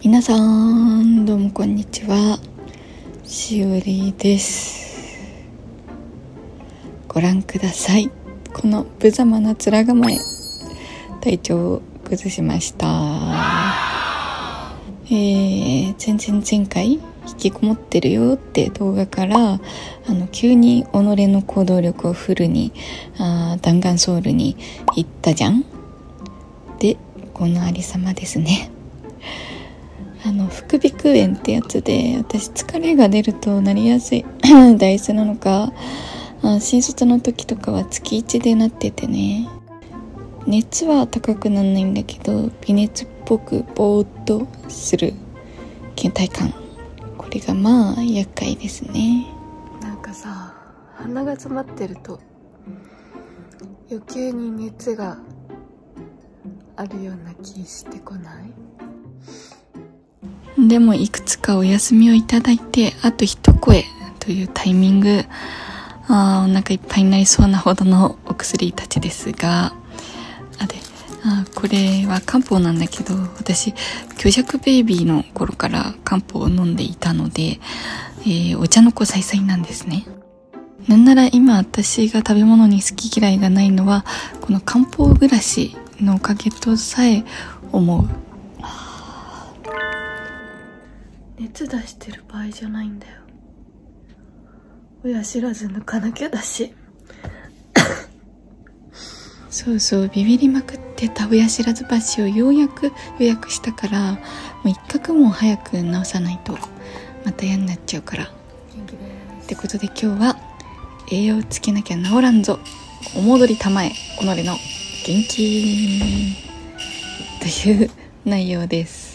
皆さんどうもこんにちはしおりですご覧くださいこの無様な面構え体調を崩しましたえー、全然前回引きこもってるよって動画から急に己の行動力をフルに弾丸ソウルに行ったじゃんでこのありさまですね あの副鼻腔炎ってやつで私疲れが出るとなりやすい体質 なのか新卒の時とかは月1でなっててね熱は高くなんないんだけど微熱っぽくぼーっとする倦怠感これがまあ厄介ですねなんかさ鼻が詰まってると余計に熱があるような気してこないでもいくつかお休みをいただいてあと一声というタイミングあお腹いっぱいになりそうなほどのお薬たちですがあであこれは漢方なんだけど私虚弱ベイビーの頃から漢方を飲んでいたので、えお茶の子さいさいなんですね。なんなら今私が食べ物に好き嫌いがないのは、この漢方暮らしのおかげとさえ思う。熱出してる場合じゃないんだよ。親知らず抜かなきゃだし。そうそうビビりまくってたやしらず橋をようやく予約したからもう一画も早く直さないとまた嫌になっちゃうからってことで今日は「栄養つけなきゃ治らんぞお戻りたまえ己の元気」という内容です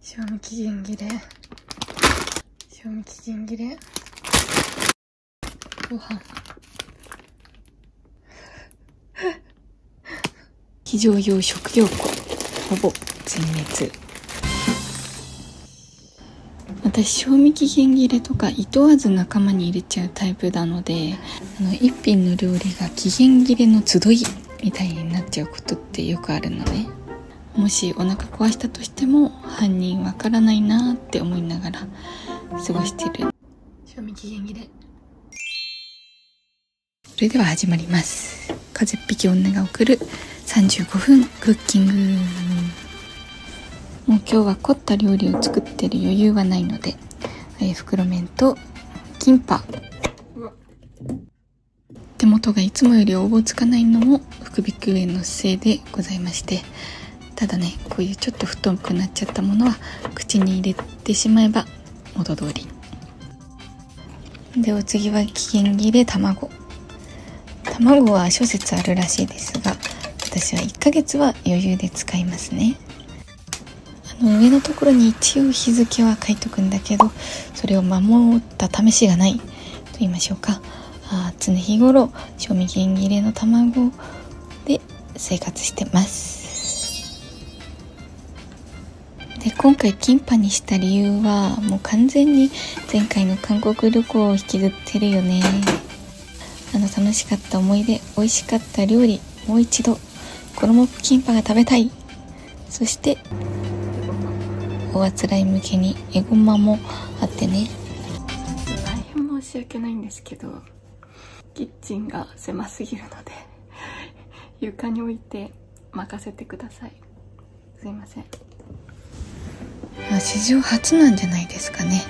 賞味期限切れ賞味期限切れご飯。非常用食料庫、ほぼ全滅。私、賞味期限切れとか、いとわず仲間に入れちゃうタイプなので、あの、一品の料理が期限切れの集いみたいになっちゃうことってよくあるのね。もしお腹壊したとも犯人わからないなって思いながら過ごしてる賞味期限切れそれでは始まります風一匹女が送る35分クッキングもう今日は凝った料理を作ってる余裕はないので、え袋麺とキンパ手元がいつもより応募つかないのも福引園の姿勢でございましてただねこういうちょっと太くなっちゃったものは口に入れてしまえば元通りでお次は期限切れ卵卵は諸説あるらしいですが私は1ヶ月は余裕で使いますねあの上のところに一応日付は書いとくんだけどそれを守った試しがないと言いましょうかあ常日頃賞味期限切れの卵で生活してますで今回キンパにした理由はもう完全に前回の韓国旅行を引きずってるよねあの楽しかった思い出美味しかった料理もう一度衣キンパが食べたいそしておあつらい向けにえごまもあってね大変申し訳ないんですけどキッチンが狭すぎるので 床に置いて任せてくださいすいませんま史上初なんじゃないですかね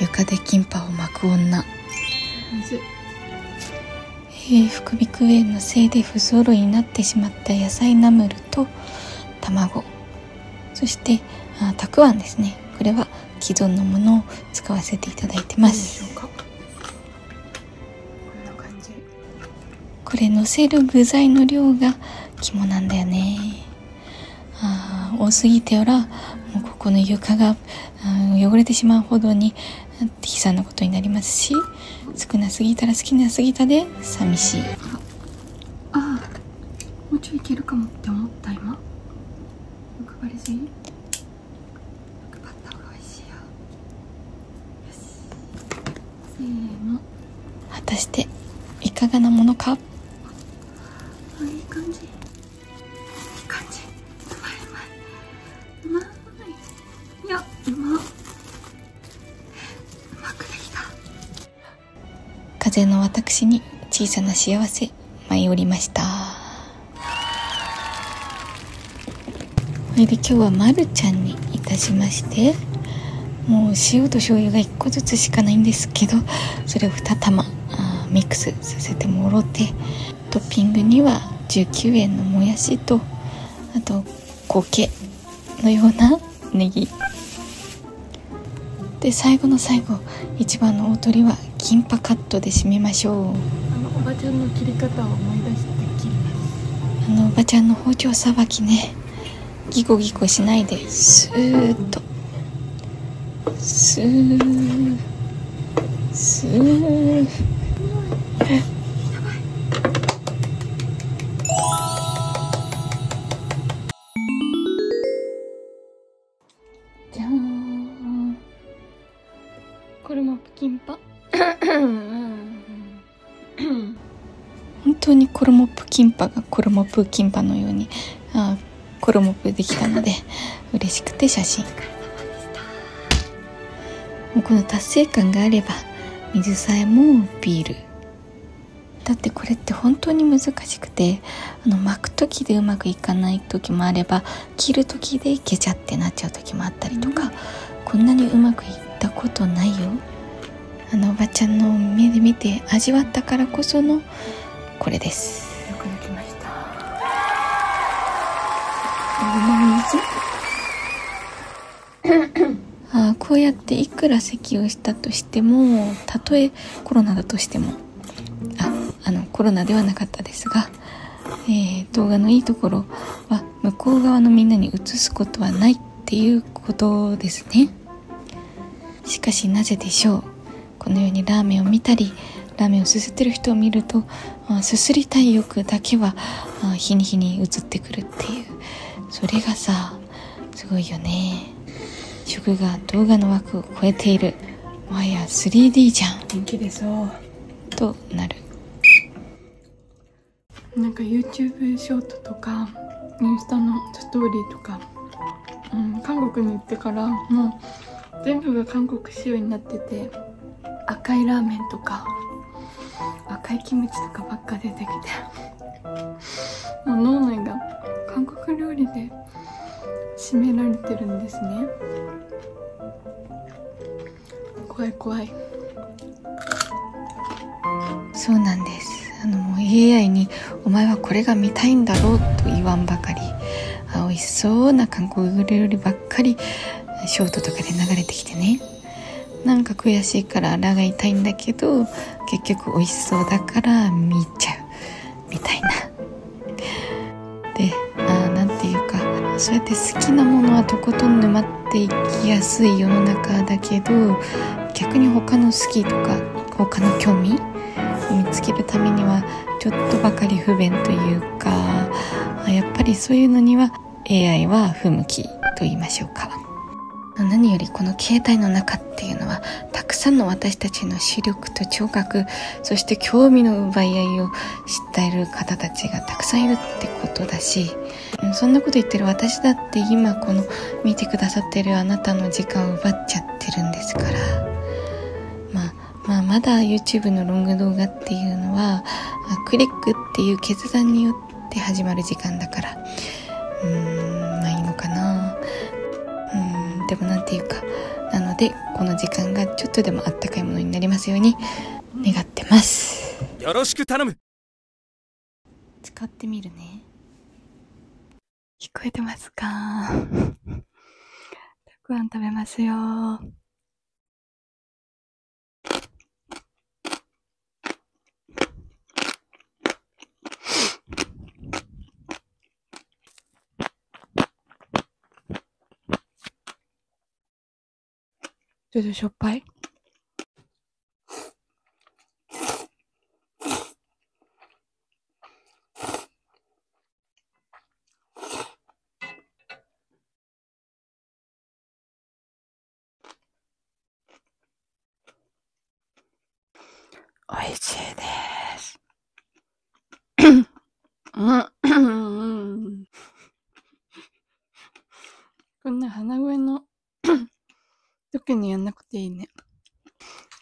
床でキンパを巻く女え副鼻腔炎のせいで不揃いになってしまった野菜ナムルと卵そしてあたくあんですねこれは既存のものを使わせていただいてますこんな感じこれのせる具材の量が肝なんだよねあ多すぎてやらもうここの床が汚れてしまうほどに悲惨なことになりますし少なすぎたら好きなすぎたで寂しいああもうちょいいけるかもって思った今欲りすぎ欲った方が美味しいよよしせーの果たしていかがなものかあいい感じいい感じうまいうまいうまいいやうまうまくできた風の私に小さな幸せ舞い降りましたこれで今日はまるちゃんにいたしましてもう塩と醤油が1個ずつしかないんですけどそれを2玉ミックスさせてもろてトッピングには19円のもやしとあと苔のようなネギで最後の最後一番の大鳥はキンパカットで締めましょうあのおばちゃんの包丁さばきねギコギコしないでスーッとスースーじゃーんこれもプキンパ 本当にモプキンパがコルモプキンパのようにコルモプできたので 嬉しくて写真もうこの達成感があれば水さえもビールだってこれって本当に難しくてあの巻く時でうまくいかない時もあれば切る時でいけちゃってなっちゃう時もあったりとかこんなにうまくいったことないよあのおばちゃんの目で見て味わったからこそのこれですよくできましたお水 あこうやっていくら咳をしたとしてもたとえコロナだとしてもああのコロナではなかったですが、えー、動画のいいところは向こう側のみんなに移すことはないっていうことですねしかしなぜでしょうこのようにラーメンを見たりラーメンをすすってる人を見るとすすりたい欲だけは日に日に移ってくるっていうそれがさすごいよね食が動画の枠を超えているもはや 3D じゃん元気でそうとなるなんか YouTube ショートとかインスタのストーリーとか、うん、韓国に行ってからもう全部が韓国仕様になってて赤いラーメンとか赤いキムチとかばっか出てきて脳内が韓国料理で締められてるんですね怖い怖いそうなんですあのもう AI に「お前はこれが見たいんだろう」と言わんばかりあ美味しそうな韓国料理ばっかりショートとかで流れてきてねなんか悔しいから腹が痛いんだけど結局美味しそうだから見ちゃうみたいな。であなんていうかそうやって好きなものはとことん沼っていきやすい世の中だけど逆に他の好きとか他の興味を見つけるためにはちょっとばかり不便というかやっぱりそういうのには AI は不向きと言いましょうか何よりこの携帯の中っていうのはたくさんの私たちの視力と聴覚そして興味の奪い合いを知っている方たちがたくさんいるってことだしそんなこと言ってる私だって今この見てくださってるあなたの時間を奪っちゃってるんですからまあまだ YouTube のロング動画っていうのはクリックっていう決断による始まる時間だからうーんまあいかなうんでも何て言うかなのでこの時間がちょっとでもあったかいものになりますように願ってますよろしく頼む使ってみるね聞こえてますか たくあん食べますよちょっとしょっぱい美味しいです。こんな鼻声の時 にやんなくていいね。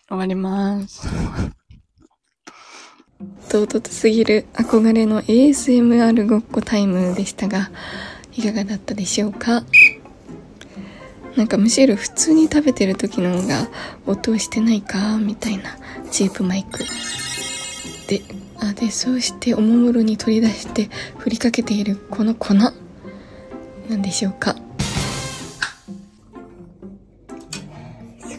終わります。唐突すぎる。憧れの ASMR ごっこタイムでしたがいかがだったでしょうかなんかむしろ普通に食べてる時の方が音してないかみたいなチープマイクであでそうしておもむろに取り出してふりかけているこの粉なんでしょうかす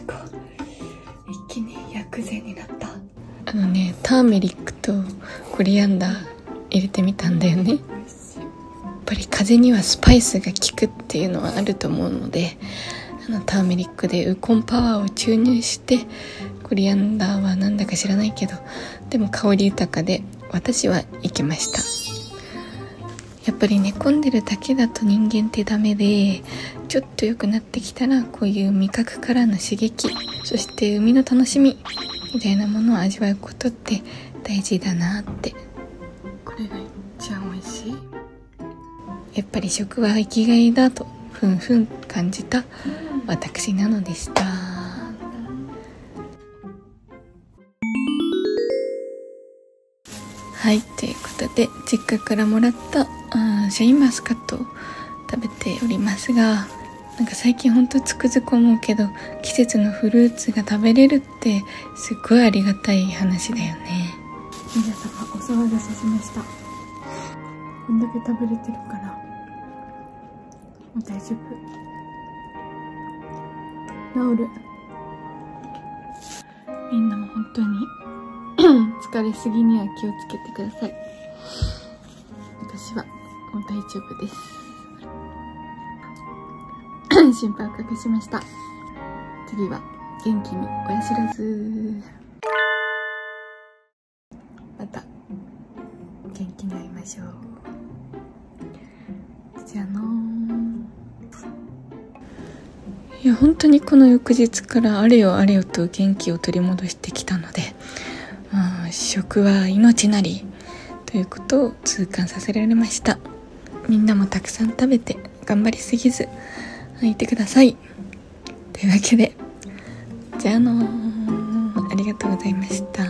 ごい一気に薬膳になったあのねターメリックとコリアンダー入れてみたんだよねやっぱり風邪にはスパイスが効くっていうのはあると思うのであのターメリックでウコンパワーを注入してコリアンダーはなんだか知らないけどでも香り豊かで私は行きましたやっぱり寝込んでるだけだと人間ってダメでちょと良くなってきたらこういう味覚からの刺激そして海の楽しみみたいなものを味わうことって大事だなってこれが一番美味しいやっぱり食は生きがいだとふんふん感じた私なのでした。はい、ということで、実家からもらった、あシャインマスカット食べておりますがなんか最近ほんとつくづく思うけど季節のフルーツが食べれるってすっごいありがたい話だよね皆様お騒がせしましたこんだけ食べれてるからもう大丈夫治るみんなも本当に 疲れすぎには気をつけてください私はもう大丈夫です 心配をかけしました次は元気に親知らずまた元気に会いましょうじゃあのーいや本当にこの翌日からあれよあれよと元気を取り戻してきたので、まあ、食は命なりということを痛感させられましたみんなもたくさん食べて頑張りすぎずいてくださいというわけでじゃあのありがとうございました。